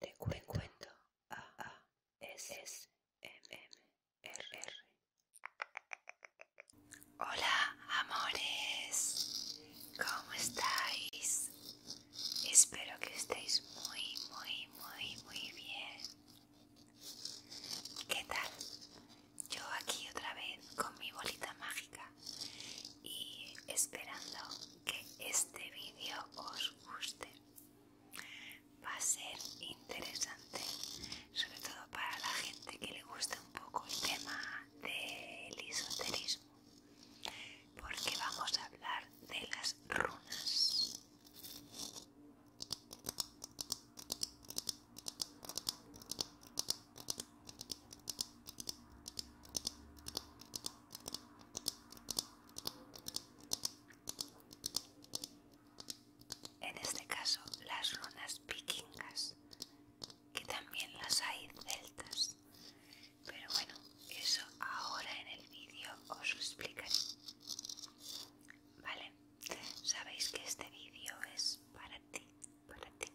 Te cuento A es M R. Hola, amores. ¿Cómo estáis? Espero que estéis muy, muy, muy, muy bien. ¿Qué tal? yo aquí otra vez con mi bolita mágica y esperando que este vídeo os guste. Va a ser interesante, sobre todo para la gente que le gusta un poco el tema del esoterismo, porque vamos a hablar de las runas. En este caso, las runas vikingas, que también las hay celtas. Pero bueno, eso ahora en el vídeo os lo explicaré. Vale, sabéis que este vídeo es para ti, para ti.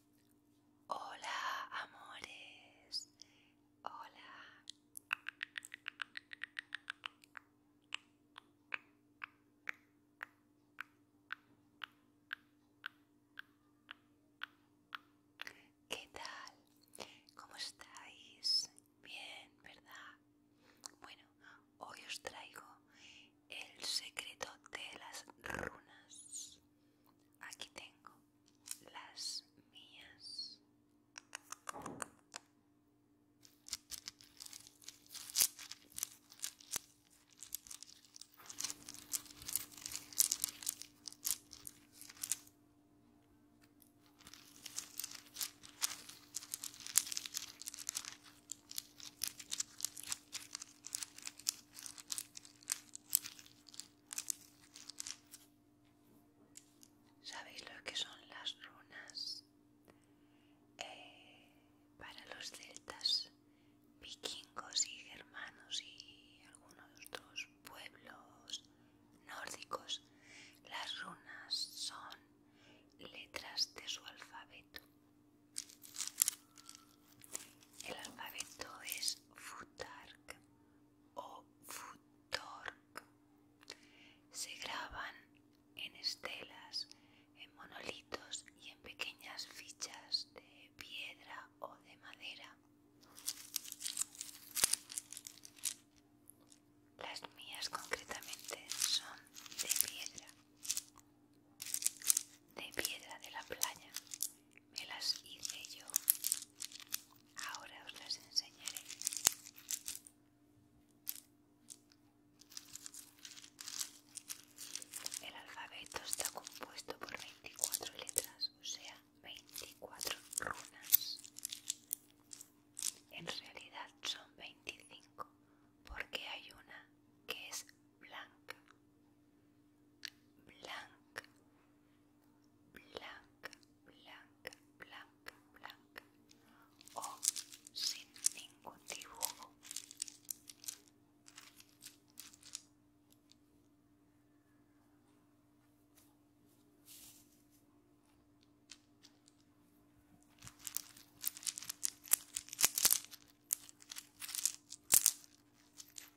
Hola, amores. Hola. ¿Qué tal? ¿Cómo estáis? Bien, ¿verdad? Bueno, hoy os traigo el secreto de las runas. Aquí tengo las mías. ¿Sabéis lo que son las runas? Eh, para los celtas, vikingos y germanos y algunos otros pueblos nórdicos, las runas son letras de su alfabeto. El alfabeto es Futark o futork se graban en estelas, en monolitos y en pequeñas fichas de piedra o de madera. Las mías concretamente son de piedra, de piedra de la playa me las hice yo. Ahora os las enseñaré. El alfabeto está compuesto por 24 letras, o sea, 24 runas. En realidad son 25, porque hay una que es blanca. Blanca blanca, blanca, blanca, blanca o sin ningún dibujo.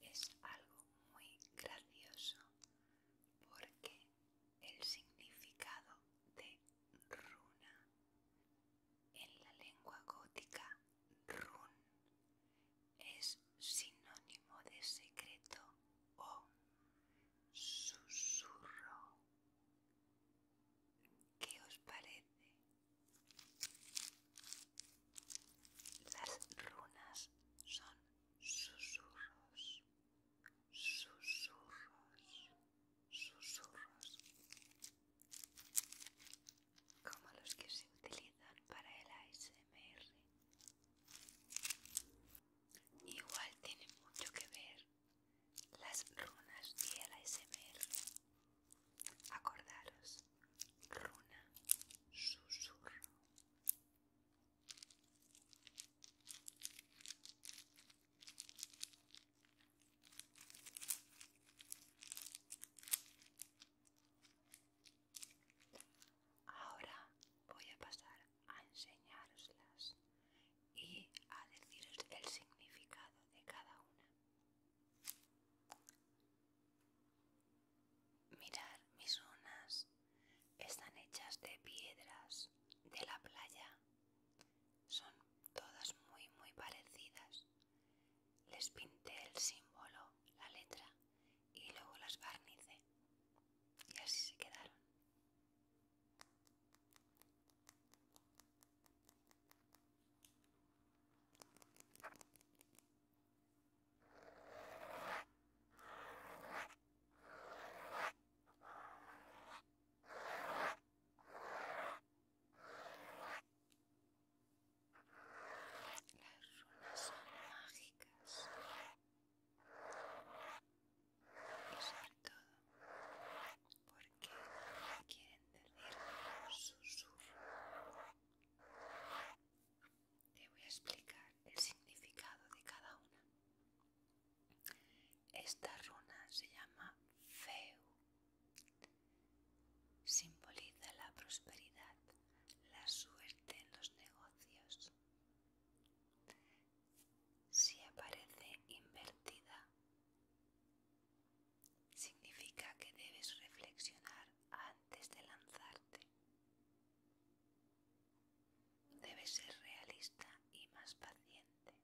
Es algo muy gracioso porque el significado de runa en la lengua gótica run es sinónimo de secreto o susurro ¿Qué os parece? Las runas son susurros, susurros, susurros, como los que se utilizan para el ASMR. Igual tiene mucho que ver las runas y la ASMR. Acordaros, runa, susurro. Ahora voy a pasar a enseñaroslas y a deciros el significado de cada una. Mirad, mis unas. están hechas de piedras de la playa. Son todas muy muy parecidas. Les pinté el símbolo, la letra y luego las barnicé. Y así se quedaron. Las runas son mágicas y sobre todo porque quieren decir susurro. Te voy a explicar el significado de cada una. Esta runa se llama Feu. Simboliza la prosperidad, la suerte en los negocios. Si aparece invertida, Significa que debes reflexionar antes de lanzarte. Debes ser realista y más paciente.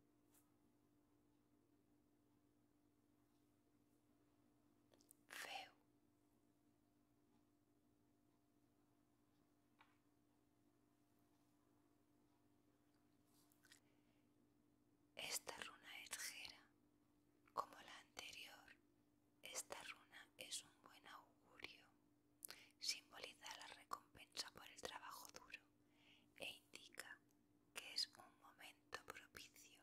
Feo. Esta runa es gera, como la anterior, esta runa es un buen augurio, simboliza la recompensa por el trabajo duro e indica que es un momento propicio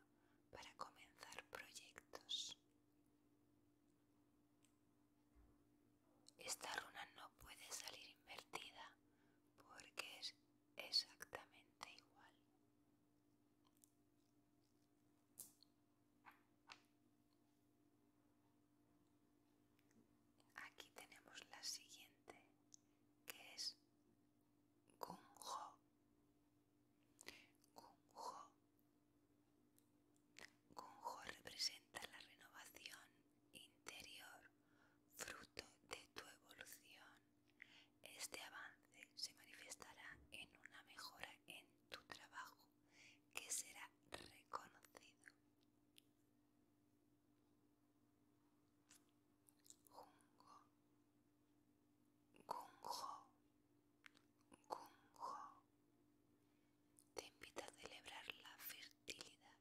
para comenzar proyectos. Esta runa no puede salir invertida porque es exactamente igual. Aquí tenemos la siguiente, que es Gung-ho. Gung-ho. ho representa la renovación interior, fruto de tu evolución. Este avance se manifestará en una mejora en tu trabajo que será reconocido. Junjo, Junjo, Junjo Te invita a celebrar la fertilidad.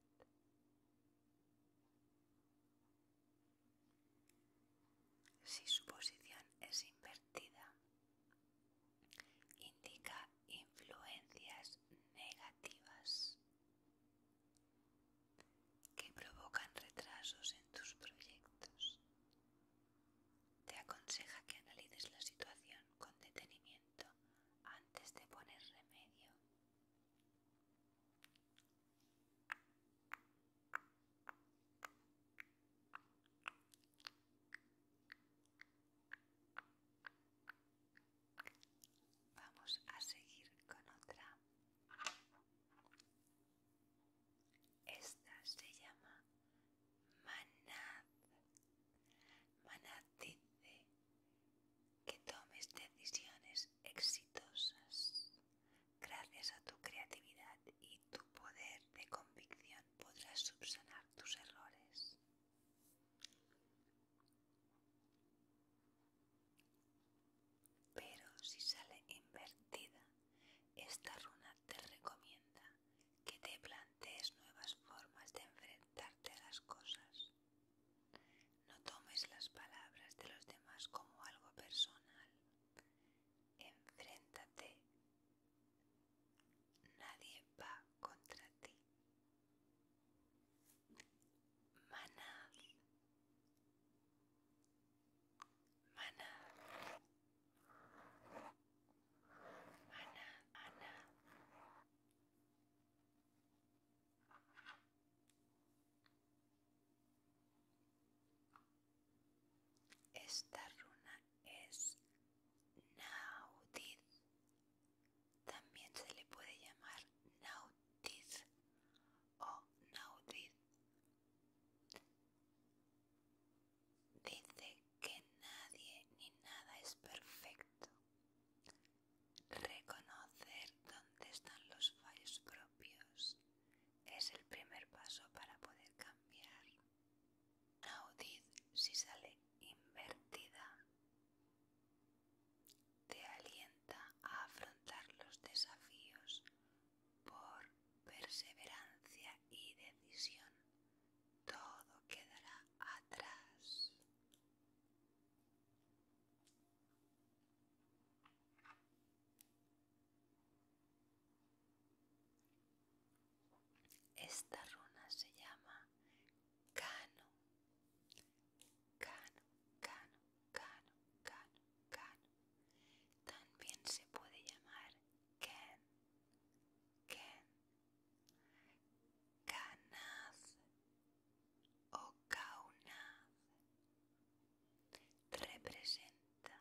Si su posición es invertida, indica influencias negativas que provocan retrasos en tus proyectos. Te aconseja que analices la situación con detenimiento antes de poner remedio. Vamos a seguir con otra. Esta se llama Manat, Manad dice que tomes decisiones exitosas. Gracias a tu creatividad y tu poder de convicción podrás subsanar tus errores. Pero si sale invertida, esta runa te recomienda que te plantees nuevas formas de enfrentarte a las cosas. No tomes las palabras de los demás como algo personal enfréntate. Nadie va contra ti. Mana, Ana. Esta runa es Naudid. También se le puede llamar Nautiz o Naudid. Dice que nadie ni nada es perfecto. Reconocer dónde están los fallos propios es el primer paso para poder cambiar. Audit, si sale invertida. Te alienta a afrontar los desafíos por perseverancia y decisión. Todo quedará atrás. Esta runa se llama Cano. Cano, cano, cano, cano, cano. También se puede llamar Ken. Ken. Canaz o Kaunaz. Representa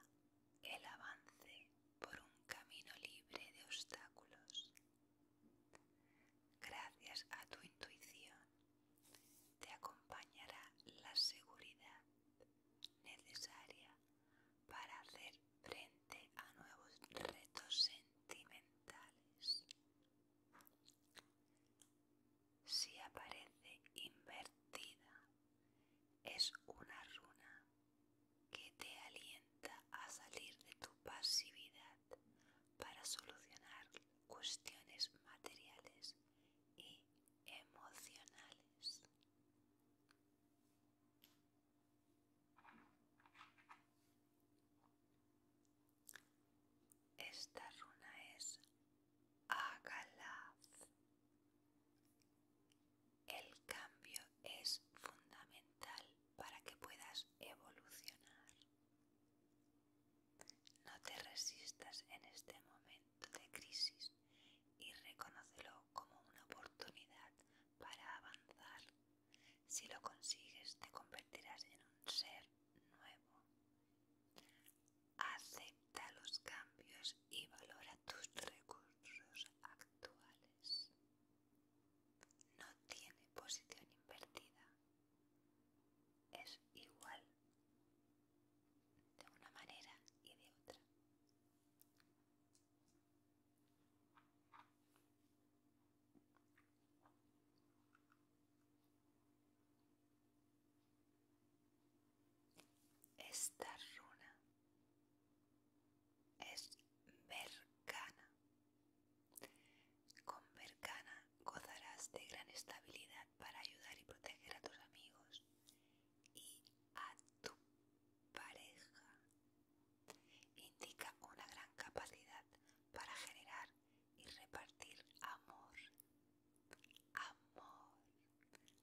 el avance por un camino libre de obstáculos. Gracias a tu intuición te acompañará la seguridad necesaria para hacer frente a nuevos retos sentimentales. Si aparece invertida es una runa que te alienta a salir de tu pasividad para solucionar cuestiones materiales y emocionales. Esta runa es el cambio es fundamental para que puedas evolucionar. No te resistas en este momento de crisis y reconócelo como una oportunidad para avanzar. Si lo consigues, te convertirás en un ser nuevo. Acepta los cambios y valora tus recursos actuales. No tiene posición invertida. Es igual de una manera y de otra. Esta runa es Mercana. Con Mercana gozarás de gran estabilidad para ayudar y proteger a tus amigos y a tu pareja. Indica una gran capacidad para generar y repartir amor. Amor,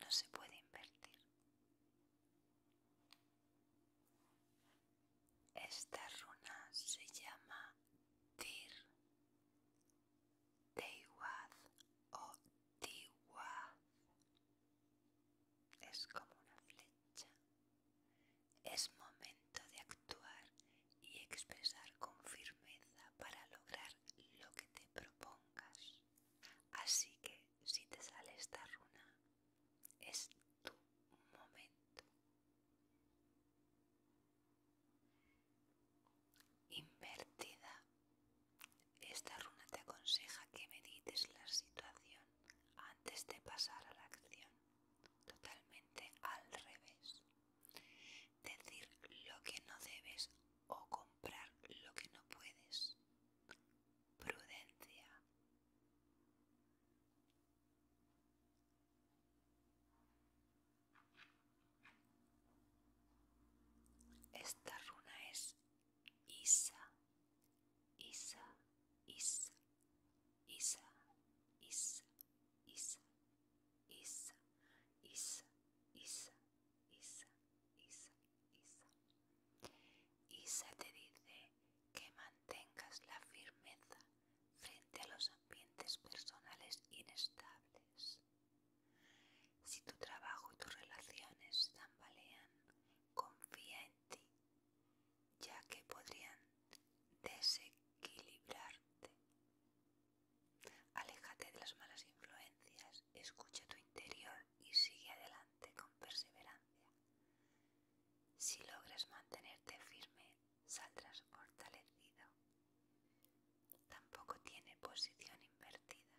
no se puede invertir. Esta runa se llama Tir, Teiwaz o Tiwaz. Es como una flecha. Es momento de actuar y expresar con firmeza para lograr lo que te propongas. Así que si te sale esta runa, es tu momento. Invertida. Esta runa te aconseja que medites la situación antes de pasar a la acción, totalmente al revés decir lo que no debes o comprar lo que no puedes. Prudencia. Esta runa es Isa, Isa, Isa, Isa, Isa, Isa, Isa, Isa, Isa, Isa, Isa. Isa te dice que mantengas la firmeza frente a los ambientes personales inestables. Si tu trabajo y tus relaciones tambalean, confía en ti, ya que podrían desequilibrarte. Aléjate de las malas influencias, escucha tu interior y sigue adelante con perseverancia. Si logras mantenerte firme, saldrás fortalecido. Tampoco tiene posición invertida.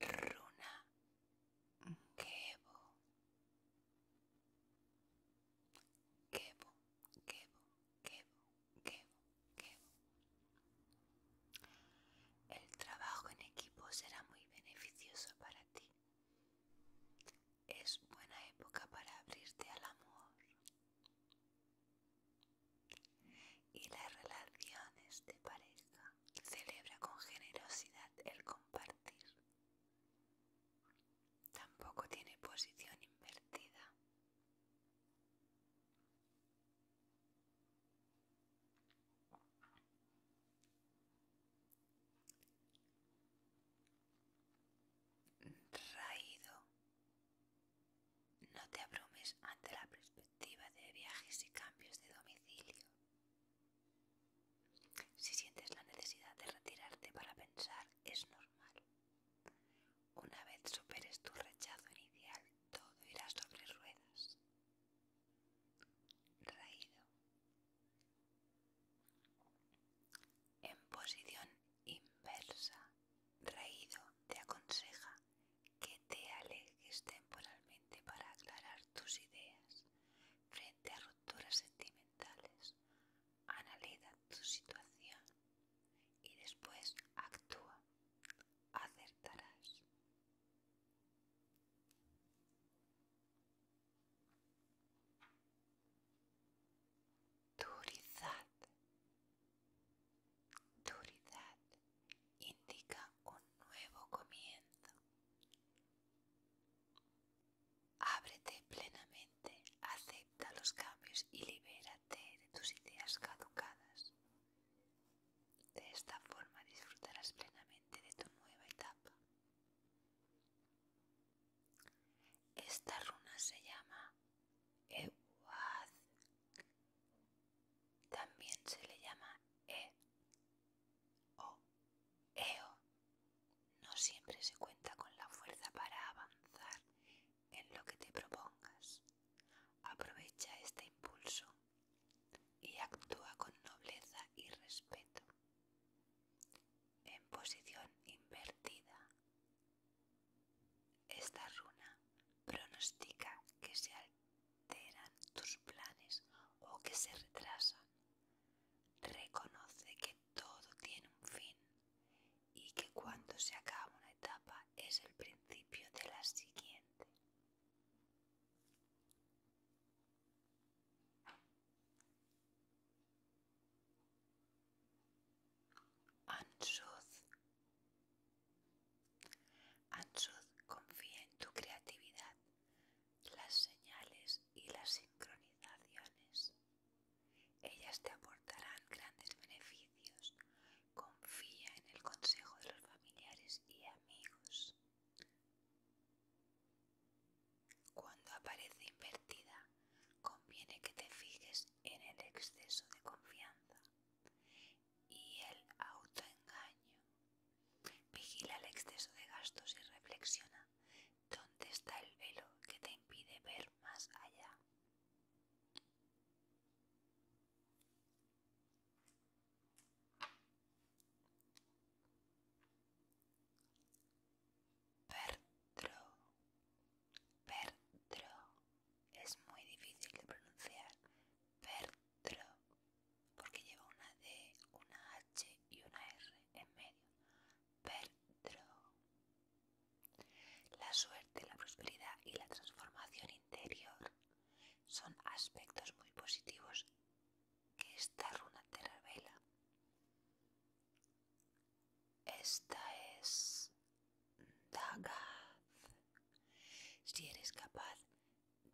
Runa québo, québo, québo, québo, québo. El trabajo en equipo será muy beneficioso para ti. Es buena época para abrirte al amor y las relaciones de pareja. Celebra con generosidad el compartir. Tampoco tiene posición invertida. Raído no te abrumes ante la perspectiva de viajes y cambios de domicilio. Si sientes la necesidad de retirarte para pensar, es normal. Una vez superes tu rechazo inicial, todo irá sobre ruedas. Raído. En posición inversa, Raído te aconseja que te alejes temporalmente para aclarar tus ideas frente a rupturas sentimentales. Analiza tu situación y después actúa. Acertarás. Durizad. Duridad indica un nuevo comienzo. Ábrete plenamente, acepta los cambios y libérate de tus ideas caducadas. De esta forma disfrutarás plenamente de tu nueva etapa. Esta runa se llama Ewaz también se le llama E o EO. No siempre se cuenta con la fuerza para avanzar en lo que te propongas. Aprovecha este impulso y actúa con nobleza y respeto. En posición invertida. Esta runa pronostica que se tus planes o que se retrasan. Reconoce que todo tiene un fin y que cuando se acaba una etapa es el principio de la siguiente. Ansud confía en tu creatividad, las señales y las sincronizaciones. Ellas te aportarán grandes beneficios. Confía en el consejo de los familiares y amigos. Cuando aparece invertida, conviene que te fijes en el exceso de confianza y el autoengaño. Vigila el exceso de gastos y reflexiona dónde está el velo que te impide ver más allá. Pertro, Pertro, es muy difícil de pronunciar. Pertro, porque lleva una D, una H y una R en medio. Pertro. La suerte, la prosperidad y la transformación interior son aspectos muy positivos que esta runa te revela. Esta es Dagaz. Si eres capaz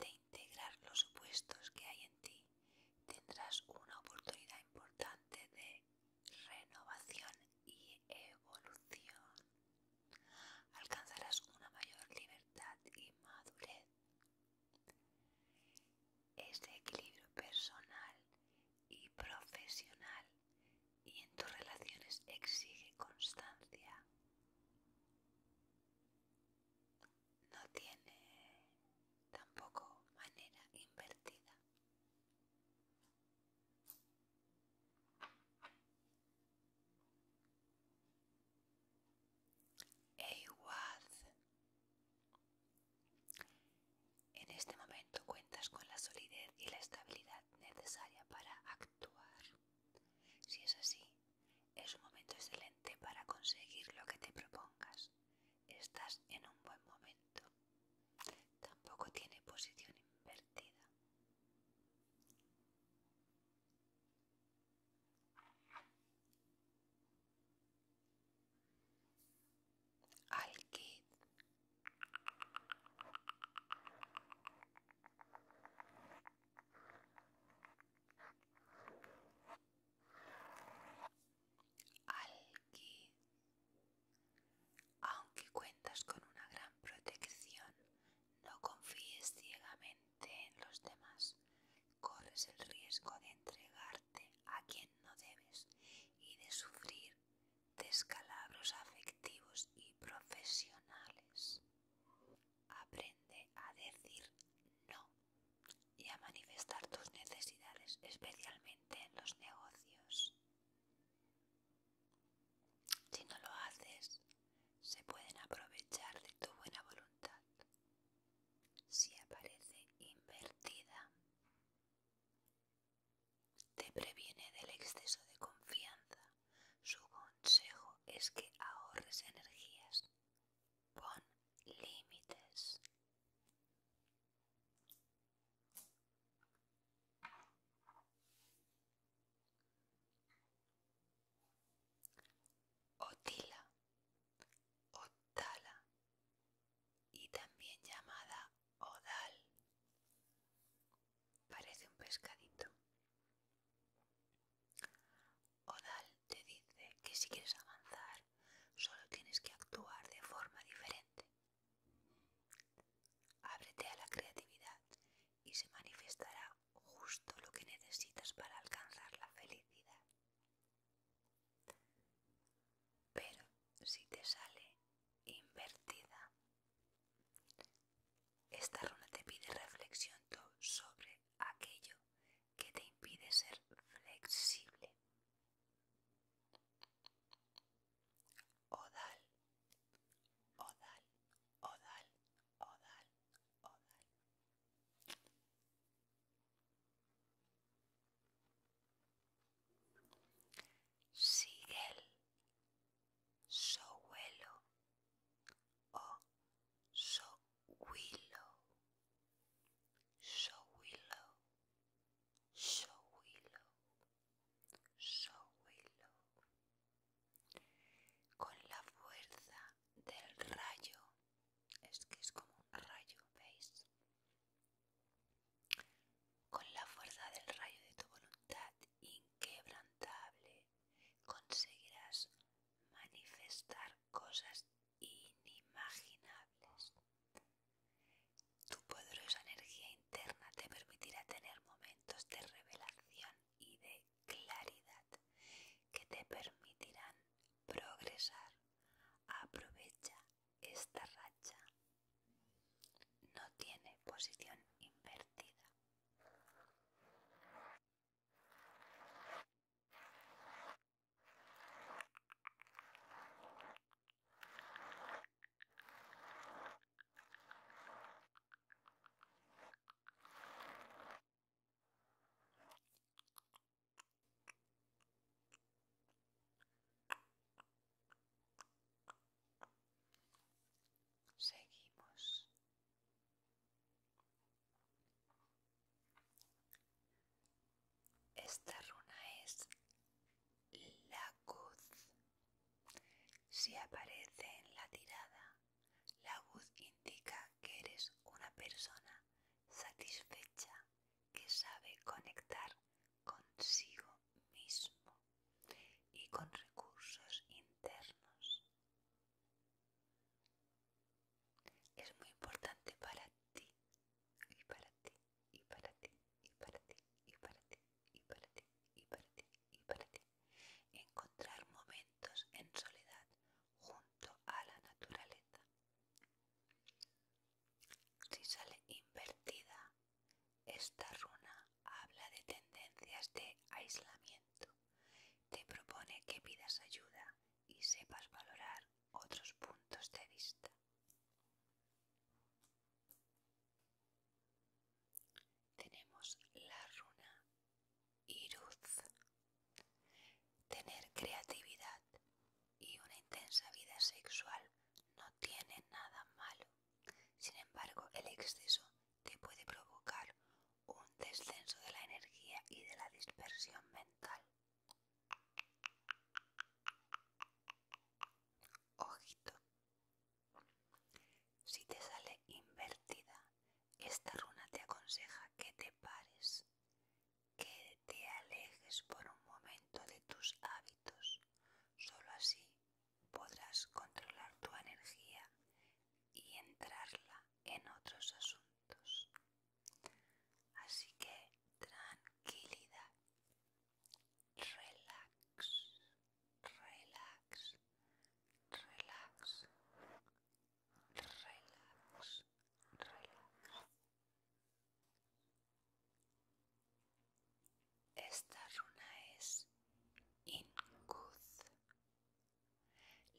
de integrar los puestos que hay en ti, tendrás una oportunidad importante de renovación y evolución. Alcanzarás una mayor libertad y madurez. Este equilibrio personal y profesional y en tus relaciones exige constancia. No tiene tampoco manera invertida. Eiwaz. En este momento cuentas con la solidez y la estabilidad necesaria para actuar. Si es así, es un momento excelente para conseguir lo que te propongas. Estás en un buen momento. Tampoco tiene posición invertida. Al que Aunque cuentas con una gran protección, no confíes ciegamente en los demás. Corres el riesgo de entregarte a quien no debes y de sufrir descalabros afectivos y profesionales. Aprende a decir no y a manifestar tus necesidades, especialmente en los negocios. Si no lo haces, se pueden aprovechar de tu buena voluntad. Si aparece invertida, te previene del exceso de confianza su consejo es que ahorres energías. Pon límites. Otila, Otala y también llamada Odal. Parece un pescadito. Odal te dice que si quieres avanzar, solo tienes que actuar de forma diferente. Ábrete a la creatividad y se manifestará justo lo que necesitas para alcanzar la felicidad. Pero si te sale invertida, esta runa te pide reflexión sobre aquello que te impide ser flexible. Odal, odal, odal, odal, odal. Sigel, sohuelo o so willow, show willow, show willow, show willow. Con la fuerza del rayo, es que es como un rayo, ¿veis? Con la fuerza del rayo de tu voluntad inquebrantable conseguirás manifestar cosas inimaginables. Tu poderosa energía interna te permitirá tener momentos de revelación y de claridad que te permitirán progresar. Aprovecha esta racha. No tiene posición invertida. Seguimos esta runa es la Luz. Si aparece en la tirada, la Luz indica que eres una persona satisfecha que sabe conectar consigo mismo y con recursos internos. Es muy importante para ti, y para ti, y para ti, y para ti, y para ti, y para ti, y para ti, y para ti. Encontrar momentos en soledad junto a la naturaleza. Si sale invertida, esta runa habla de tendencias de aislamiento. Te propone que pidas ayuda y sepas valorar otros puntos de vista. Tenemos la runa y Tener creatividad y una intensa vida sexual no tiene nada malo. Sin embargo, el exceso te puede provocar un descenso de la energía y de la dispersión mental. Ojito. Si te sale invertida, esta runa te aconseja que te pares, que te alejes por un momento de tus hábitos. Solo así podrás controlar tu energía y entrarla en otros asuntos. Así que tranquilidad, relax, relax, relax, relax, relax. Esta runa es in good.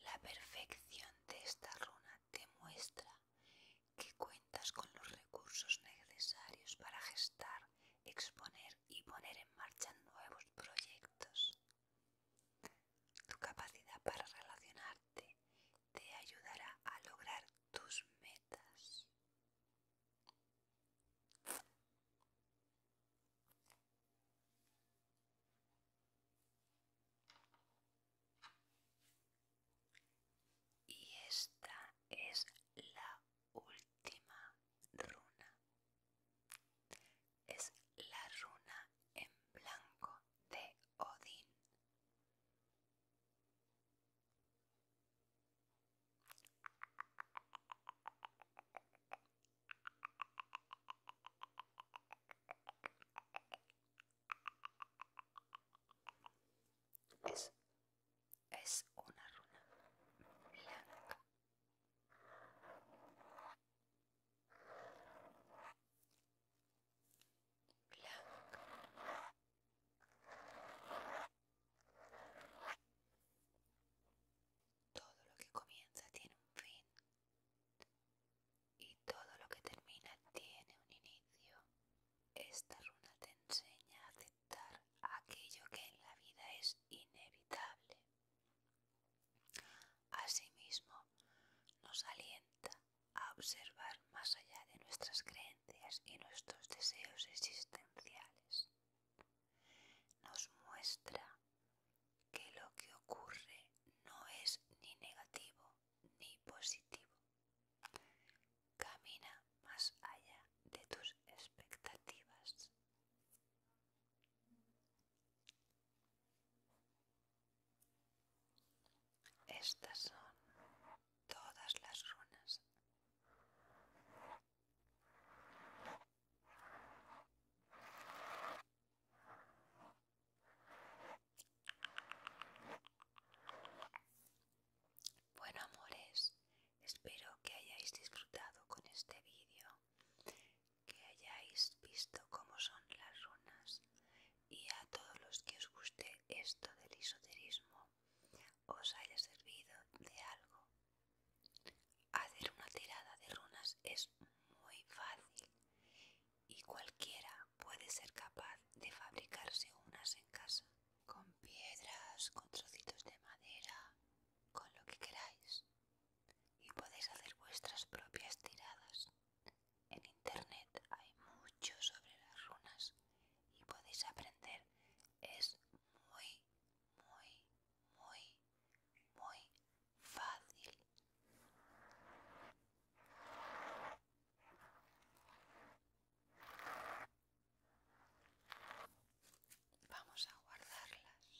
La perfección de esta runa te muestra que cuentas con los recursos necesarios para gestar, exponer y poner en marcha nuevos proyectos. Tu capacidad para relacionarte te ayudará a lograr tus metas. Y esta es la última runa. Es la runa en blanco de Odín. Es, una runa blanca. Blanca. Todo lo que comienza tiene un fin. Y todo lo que termina tiene un inicio. Esta runa te enseña a aceptar aquello que en la vida es inevitable. Asimismo, nos alienta a observar más allá de nuestras creencias y nuestros deseos existenciales. Nos muestra que lo que ocurre no es ni negativo ni positivo. Camina más allá de tus expectativas. Estas son todas las runas. Bueno amores, espero que hayáis disfrutado con este vídeo, que hayáis visto cómo son las runas y a todos los que os guste esto del esoterismo os haya servido de algo. Hacer una tirada de runas es muy fácil y cualquiera puede ser capaz de fabricarse unas en casa, con piedras, con trocitos de madera, con lo que queráis. Y podéis hacer vuestras propias tiradas. En internet hay mucho sobre las runas y podéis aprender. Es muy, muy, muy, muy fácil. Vamos a guardarlas.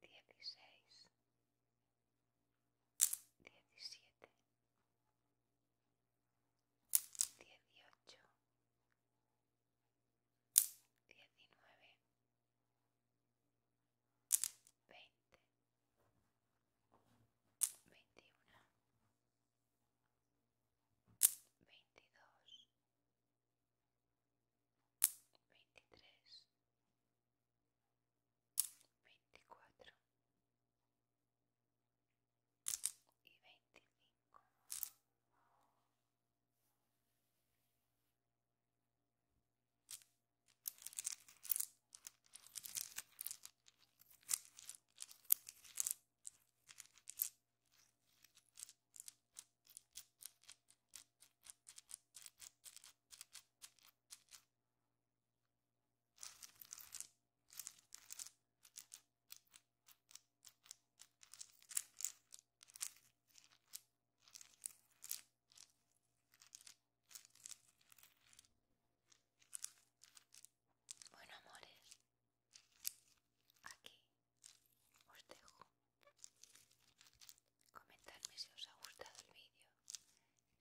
dieciséis, diecisiete, dieciocho, diecinueve, veinte, veintiuno, veintidós, veintitrés, veinticuatro y veinticinco bueno, amores, aquí os dejo Comentadme si os ha gustado el vídeo,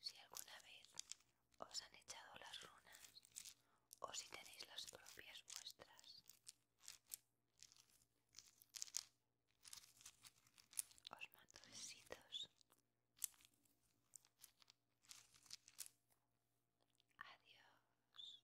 si alguna vez os han echado las runas o si tenéis las propias vuestras. Os mando besitos. Adiós.